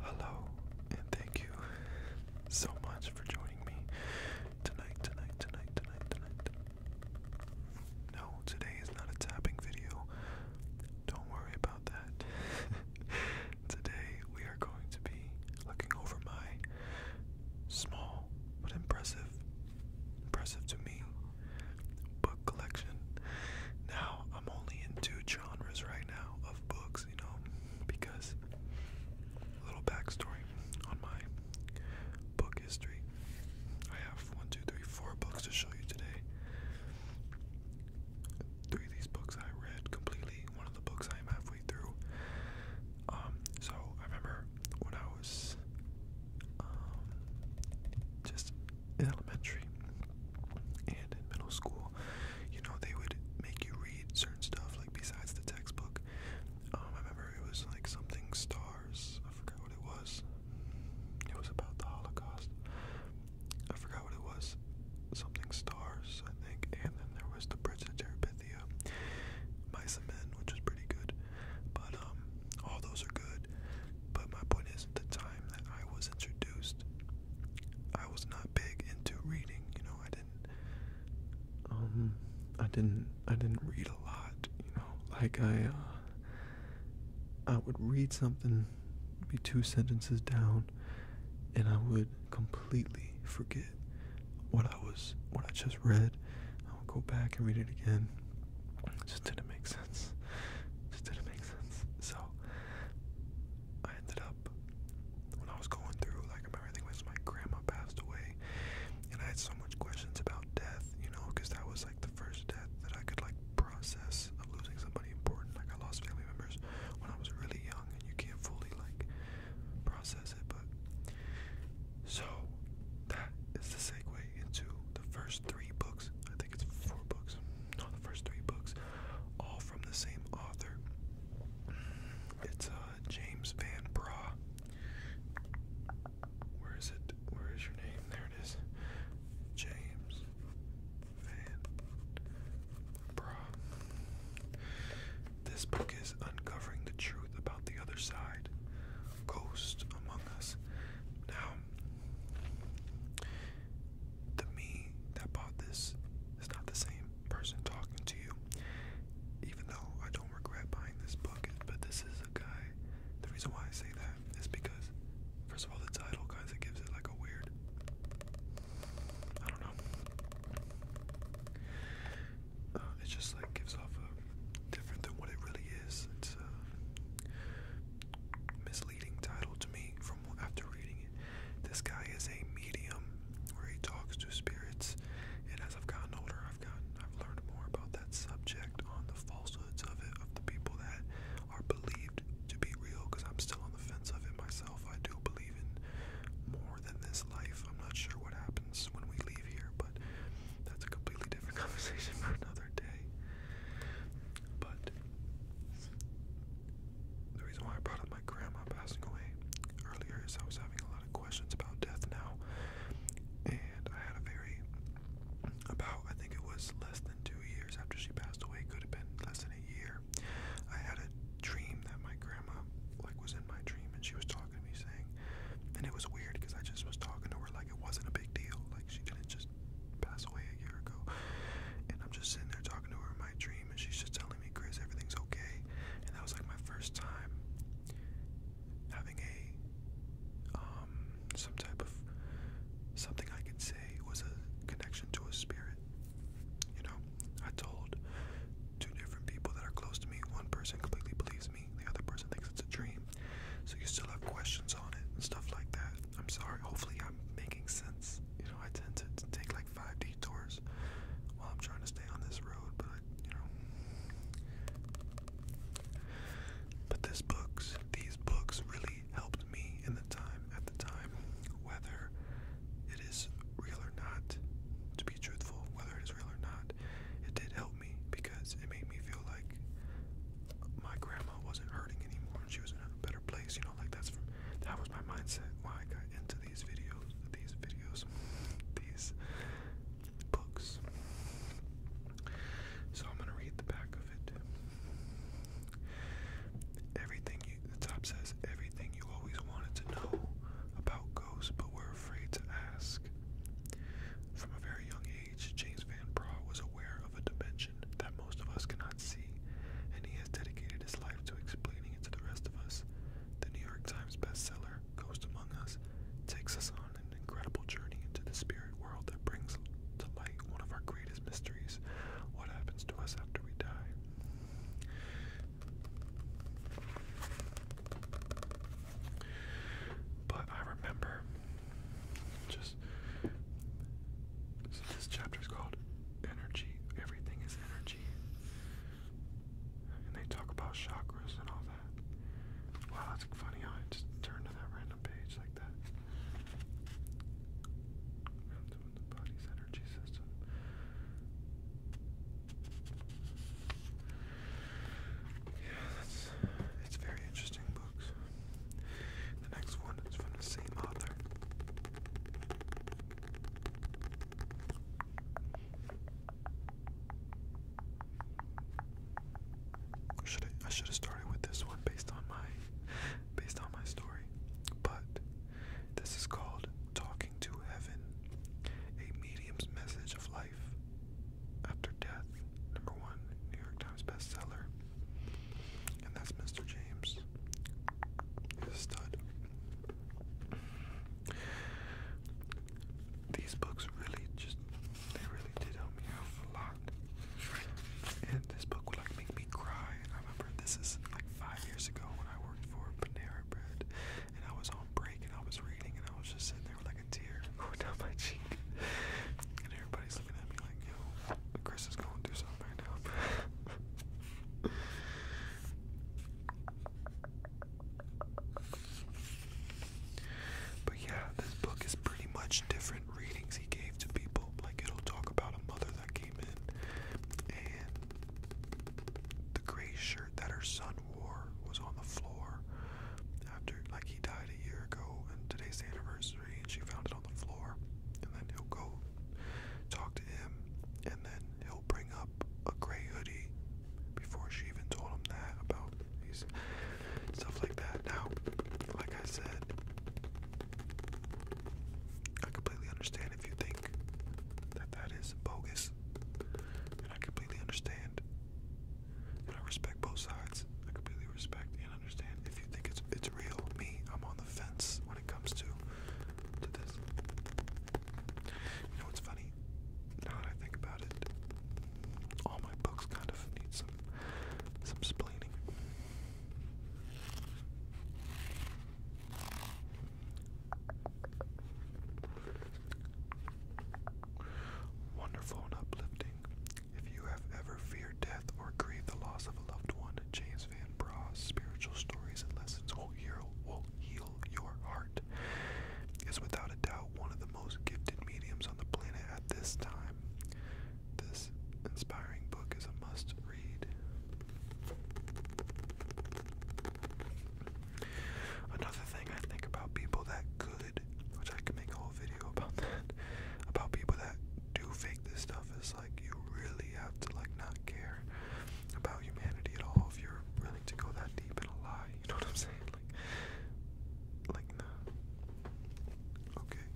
Hello, and thank you so much for joining me tonight, tonight, tonight, tonight, tonight. No, today is not a tapping video. Don't worry about that. Today we are going to be looking over my small but impressive, impressive to me, book collection. Now I'm only in two genres right now of books, you know, because a little backstory on my book history. I have one, two, three, four books to show you today. Three of these books I read completely one of the books I am halfway through. Um, so I remember when I was um, just in elementary and in middle school, you know, they would make you read certain stuff like besides the textbook. Um, I remember it was like something stars. I forgot what it was. It was about the Holocaust. I forgot what it was. Something stars, I think. And then there was the Bridge to which is pretty good. But um, all those are good. But my point is, at the time that I was introduced, I was not big into reading. You know, I didn't. Um, I didn't. I didn't read a lot. You know, like I. Uh, I would read something, be two sentences down, and I would completely forget what I was what I just read. I would go back and read it again. just didn't make sense. just didn't make sense. So I ended up when I was going through like I was my grandma passed away and I had so much questions about death, you know, because that was like the first death that I could like process of losing somebody important. Like I lost family members when I was really young you can't fully like process it. But so that is the segue into the first three books. I think it's four books. No, the first three books, all from the same author. It's uh, James Van Bra. Where is it? Where is your name? There it is. James Man. Bruh. This book is uncovering the truth about the other side. Ghost among us. Now, the me that bought this is not the same person talking to you. Even though I don't regret buying this book, but this is a guy. The reason why I say that is because, first of all, the title kind of gives it like a weird I don't know. Uh, it just like gives off a different than what it really is. It's a misleading title to me from after reading it. This guy is a medium where he talks to spirits, and as I've gotten older, I've gotten I've learned more about that subject on the falsehoods of it of the people that are believed to be real because I'm still on the fence of it myself. I do believe in more than this life. I'm not sure what happens when we leave here, but that's a completely different conversation for another day. But the reason why I brought up my grandma passing away earlier is I was having a lot of questions about death now, and I had a very about I think it was less than two years after she passed away, could have been less than a year year, I had a dream that my grandma like was in my dream and she was talking to me saying, and it was weird because I just was talking to her like it wasn't a big deal, like she didn't just pass away a year ago, and I'm just sitting there talking to her in my dream and she's just telling me, Chris, everything's okay, and that was like my first time having a um some type of something I could say was a connection to a spirit. You know, I told two different people that are close to me. One person completely believes me, the other person thinks it's a dream. So you still have questions on it stuff like that. I'm sorry, hopefully I'm making sense. You know, I tend to, take like five detours while I'm trying to stay on this road, but you know. But this books, these books really helped me in the time at the time whether it is real or not, to be truthful, whether it is real or not, it did help me because it made me feel like my grandma wasn't hurting anymore and she was in a better place, you know, like that's that was my mindset why I got into these videos, these videos, these books. So I'm gonna read the back of it. Everything you, the top says everything you always wanted to know about ghosts but were afraid to ask. From a very young age, James Van Praagh was aware of a dimension that most of us cannot see, and he has dedicated his life to explaining it to the rest of us. The New York Times bestseller, Ghost Among Us, takes us on an incredible journey into the spirit world that brings to light one of our greatest mysteries what happens to us after we die. But I remember just so this chapter is called Energy. Everything is energy. And they talk about chakras and all that. Wow, that's funny I just turned to that random page like that. Yeah, that's it's very interesting books. The next one is from the same author. Should I, I should have started with this one based on my based on my story, but this is called Talking to Heaven, a medium's message of life after death. Number one, New York Times bestseller. And that's Mr. James. He's a stud. These books really just, they really did help me out a lot. And this book would like make me cry. And I remember this is like five years ago when I for Panera Bread, and I was on break and I was reading and I was just sitting there like a tear going down my cheek, and everybody's looking at me like, yo, Chris is going through something right now. But yeah, this book is pretty much different readings he gave to people. Like it'll talk about a mother as I came in, and the gray shirt that her son wore was on the floor after, like, he died a year ago, and today's the anniversary, and she found it on the floor. And then he'll go talk to him, and then he'll bring up a gray hoodie before she even told him that about these stuff like that. Now, like I said, I completely understand if you think that that is bogus, and I completely understand, and I respect both sides. I completely respect and understand if you think it's it's real. Me, I'm on the fence when it comes to to this. You know what's funny? Now that I think about it, all my books kind of need some some splaining. Wonderful and uplifting. If you have ever feared death or grieved the loss of a loved one, James Van Bragh's spiritual stories and lessons will heal, your heart. Is without a doubt one of the most gifted mediums on the planet at this time. This inspiring book is a must read. Another thing I think about people that could, which I could make a whole video about that, about people that do fake this stuff is like you really have to like not care about humanity at all if you're willing to go that deep in a lie. You know what I'm saying? Like, like no. Okay.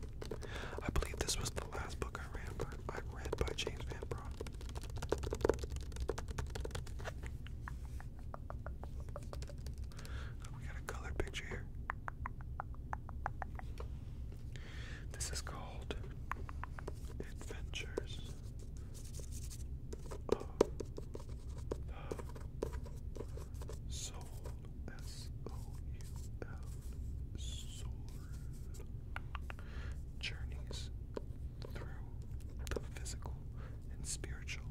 I believe this was the last book I read before, read by James Van Praagh. Oh, we got a color picture here. This is called Adventures of soul journeys through the physical and spiritual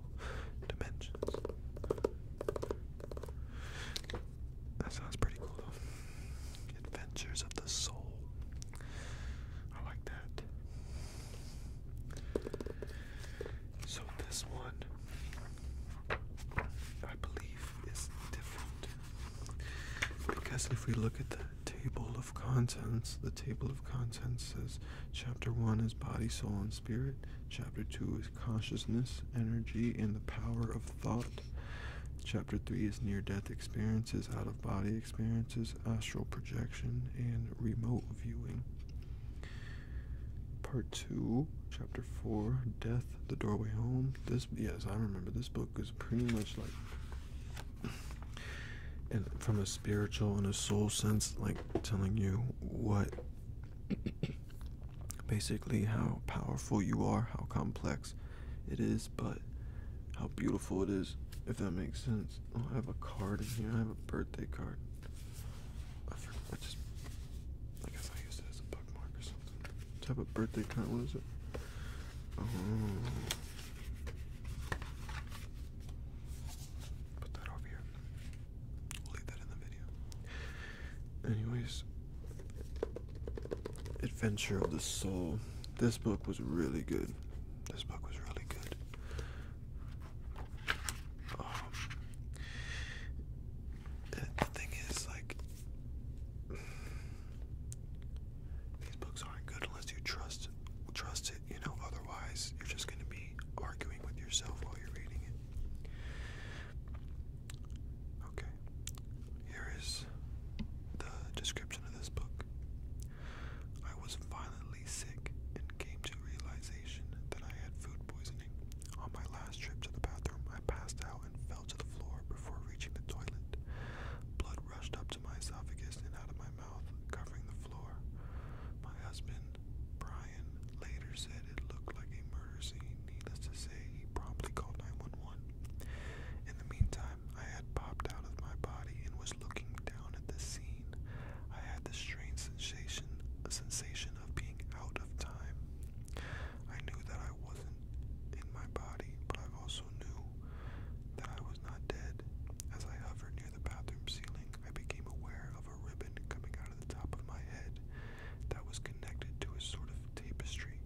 dimensions. That sounds pretty cool though. Adventures of the soul. I like that. So this one I believe is different because if we look at that table of contents. The table of contents says chapter 1 is body, soul, and spirit. Chapter 2 is consciousness, energy, and the power of thought. Chapter 3 is near death experiences, out of body experiences, astral projection, and remote viewing. Part 2, Chapter 4 Death, The Doorway Home. This, yes, I remember this book is pretty much like and from a spiritual and a soul sense, like telling you what basically how powerful you are, how complex it is, but how beautiful it is, if that makes sense. Oh, I have a card in here, I have a birthday card. I just, I guess I used it as a bookmark or something type of birthday count What is it? Oh. Put that over here. We'll leave that in the video. Anyways, Adventure of the Soul. This book was really good. This book was really good. Um, the thing is, like, these books aren't good unless you trust trust it, you know, otherwise you're just gonna be arguing with yourself while you're reading it. Okay. Here is the description of this book. I was violently sick and came to realization that I had food poisoning. On my last trip to the bathroom, I passed out and fell to the floor before reaching the toilet. Blood rushed up to my esophagus and out of my mouth, covering the floor. My husband, Brian, later said it looked like a murder scene. Needless to say, he promptly called 911. In the meantime, I had popped out of my body and was looking down at the scene. I had the strange sensation, a sensation of being out of time. I knew that I wasn't in my body, but I also knew that I was not dead. As I hovered near the bathroom ceiling, I became aware of a ribbon coming out of the top of my head that was connected to a sort of tapestry.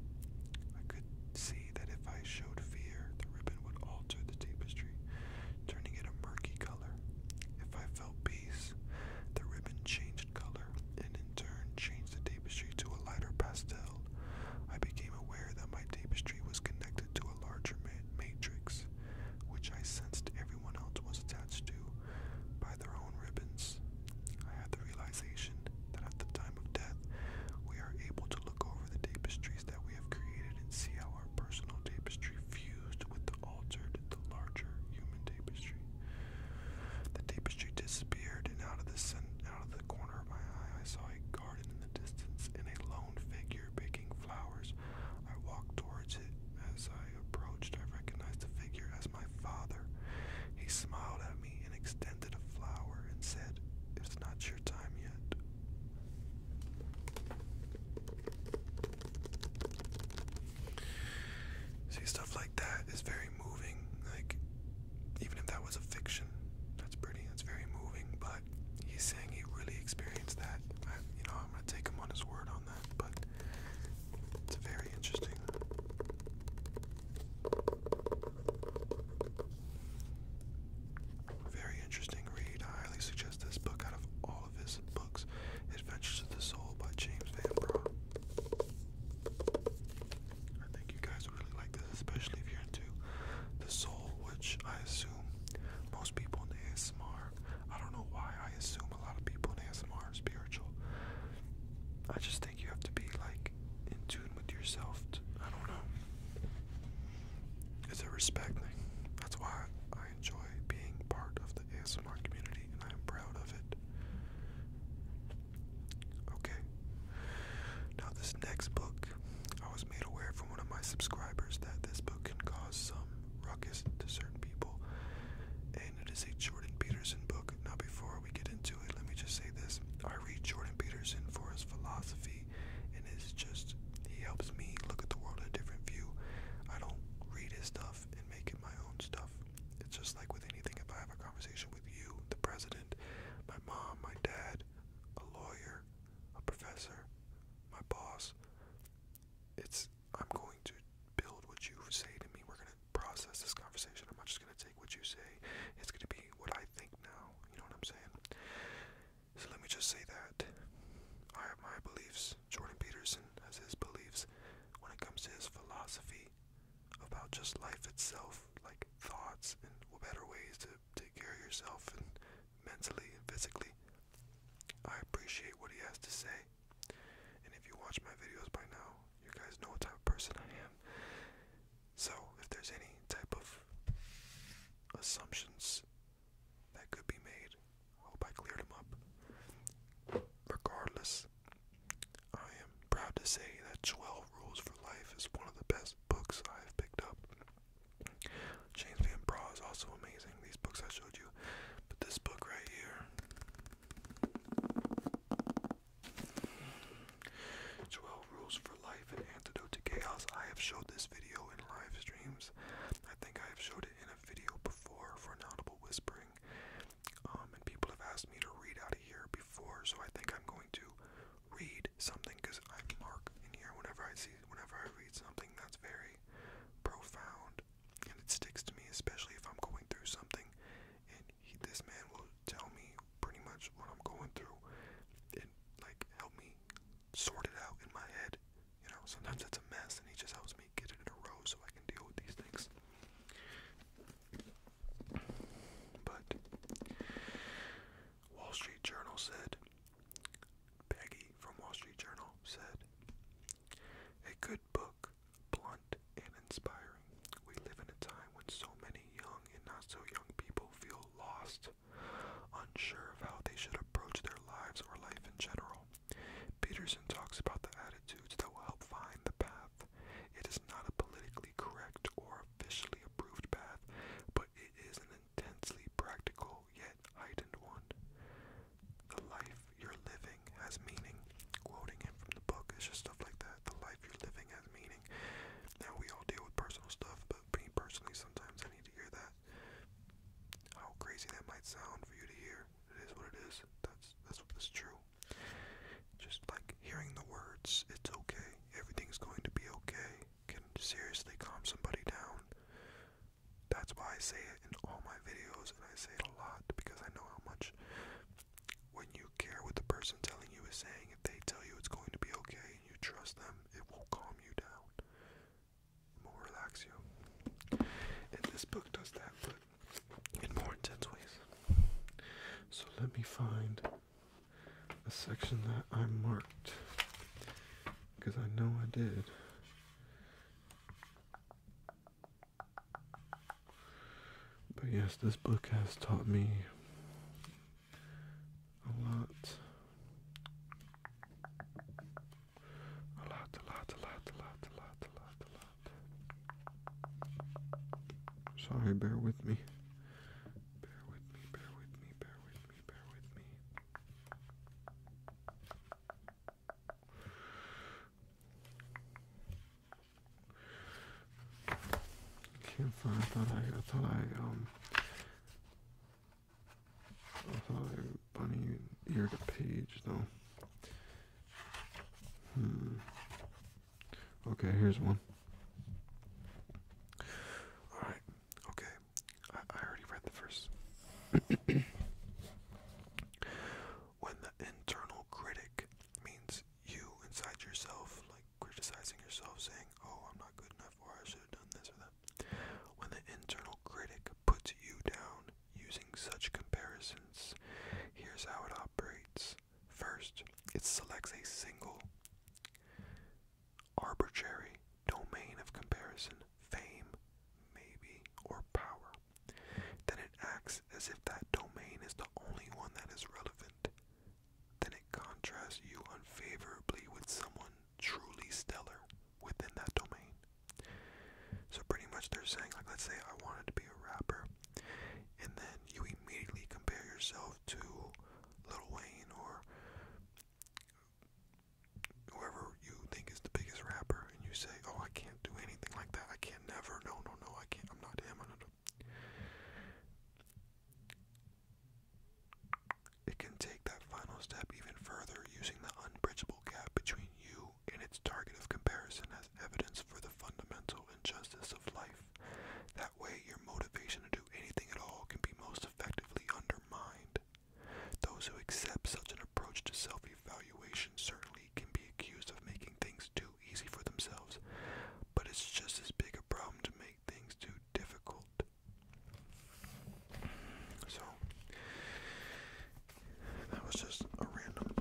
I could see that if I showed fear, the ribbon would alter the tapestry, turning it a murky color. If I felt peace, the ribbon changed color and in turn changed the tapestry to a lighter pastel. I became aware that my tapestry was connected to a larger matrix, which I sensed everyone else was attached to by their own ribbons. I had the realization that at the time of death, we are able to look over the tapestries that we have created and see how our personal tapestry fused with the altered, the larger human tapestry. The tapestry disappeared, and out of the center out of the corner of my eye, I saw a garden in the distance and a lone figure picking flowers. I walked towards it. As I approached, I recognized the figure as my father. He smiled at me and extended a flower and said, It's not your time yet. See, stuff like that is very moving. Like, even if that was a fiction, that's pretty. That's very moving. But he's saying he really experienced that. you know, I'm gonna take him on his word on that. But it's very interesting. Very interesting read. I highly suggest this book out of all of his books, Adventures of the Soul by James Van I think you guys really like this, especially if you're into the soul, which I assume most people in ASMR. I don't know why I assume a lot of people in ASMR are spiritual. I just think you have to be like in tune with yourself. I don't know. It's a respect thing. That's why I enjoy being part of the ASMR community and I am proud of it. Okay. Now, this next book, I was made aware from one of my subscribers that this book can cause some ruckus to certain people, and it is a Jordan Peterson book. Now, before we get into it, let me just say this I read Jordan Peterson for his philosophy, and it's just, he helps me look at the world in a different view. I don't read his stuff and make it my own stuff. It's just like with anything, if I have a conversation with you, the president, president, my mom, my dad, a lawyer, a professor, my boss. It's I'm going to build what you say to me. We're gonna process this conversation. I'm not just gonna take what you say. It's gonna be what I think now. You know what I'm saying? So let me just say that I have my beliefs. Jordan Peterson has his beliefs when it comes to his philosophy about just life itself, like thoughts and better ways to take care of yourself and mentally and physically. I appreciate what he has to say. And if you watch my videos by now, you guys know what type of person I am. So if there's any type of assumptions that could be made, I hope I cleared them up. Regardless, I am proud to say that 12 Rules for Life is one of the best books I have picked up. James Van Bra is also amazing, these books I showed you. But this book right here 12 Rules for Life and Antidote to Chaos. I have showed this video in live streams. I think I have showed it in a video before for an audible whispering. Um, and people have asked me to read out of here before, so I think I'm going to read something because I mark in here whenever I see, whenever I read something that's very profound and it sticks to me, especially if I'm going through something. And he, this man will tell me pretty much what I'm going through and like help me sort it out in my head. You know, sometimes it's a mess, and he just helps me get it in a row so I can deal with these things. But Wall Street Journal said, Peggy from Wall Street Journal said, a good book, blunt and inspiring. We live in a time when so many young and not so young people feel lost, unsure of how they should approach their lives or life in general. Peterson talks about the attitudes that will help find the path it is not a politically correct or officially approved path, but it is an intensely practical yet heightened one. The life you're living has meaning. Quoting him from the book, it's just stuff like that. The life you're living has meaning. Now, we all deal with personal stuff, but me personally, sometimes I need to hear that. How crazy that might sound for you to hear. It is what it is. That's, that's, that's true. Just like hearing the words, it's okay, everything's going to be okay, can seriously calm somebody down. That's why I say it in all my videos, and I say it a lot because I know how much when you care what the person telling you is saying, if they tell you it's going to be okay and you trust them, it will calm you down. will relax you. And this book does that, but in more intense ways. So let me find a section that I marked because I know I did. But yes, this book has taught me a lot. A lot, a lot, a lot, a lot, a lot, a lot, Sorry, bear with me. Bear with me, bear with me, bear with me, bear with me. Can't find. I thought I, I thought I um, I thought I bunny ear to page though. Hmm. Okay, here's one. Alright, okay. I, already read the first. when the internal critic means you inside yourself, like criticizing yourself, saying, oh, I'm not good enough, or I should have done this or that. When the internal critic puts you down using such comparisons, here's how it operates. First, it selects a single arbitrary domain of comparison, fame, maybe, or power. Then it acts as if that domain is the only one that is relevant. Then it contrasts you unfavorably with someone truly stellar within that domain. So pretty much they're saying, like, let's say I wanted to be a rapper, and then you immediately compare yourself to Lil Wayne or whoever you think is the biggest rapper, and you say, "Oh, I can't do anything like that. I can't never. No, no, no. I can't. I'm not him." i it can take that final step even further using the unbridgeable gap between you and its target of comparison as evidence for the fundamental injustice of life. That way, your motivation to do anything at all can be most effectively undermined. Those who accept such an approach to self evaluation certainly can be accused of making things too easy for themselves, but it's just as big a problem to make things too difficult. So, that was just a random,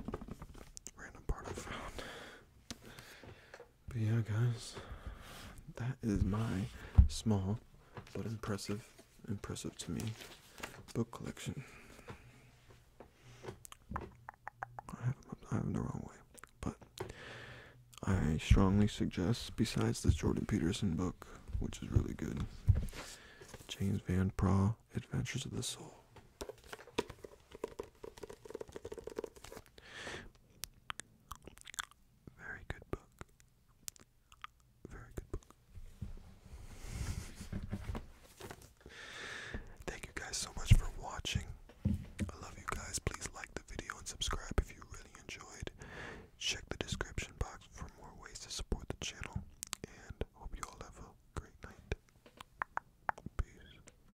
random part I found. But yeah, guys, that is my small but impressive, impressive to me book collection. I have, them the wrong way, but I strongly suggest, besides the Jordan Peterson book, which is really good, James Van Praagh, Adventures of the Soul. Very good book. Very good book. Thank you guys so much for watching. I love you guys. Please like the video and subscribe if you really enjoyed. Check the description box for more ways to support the channel. And hope you all have a great night. Peace.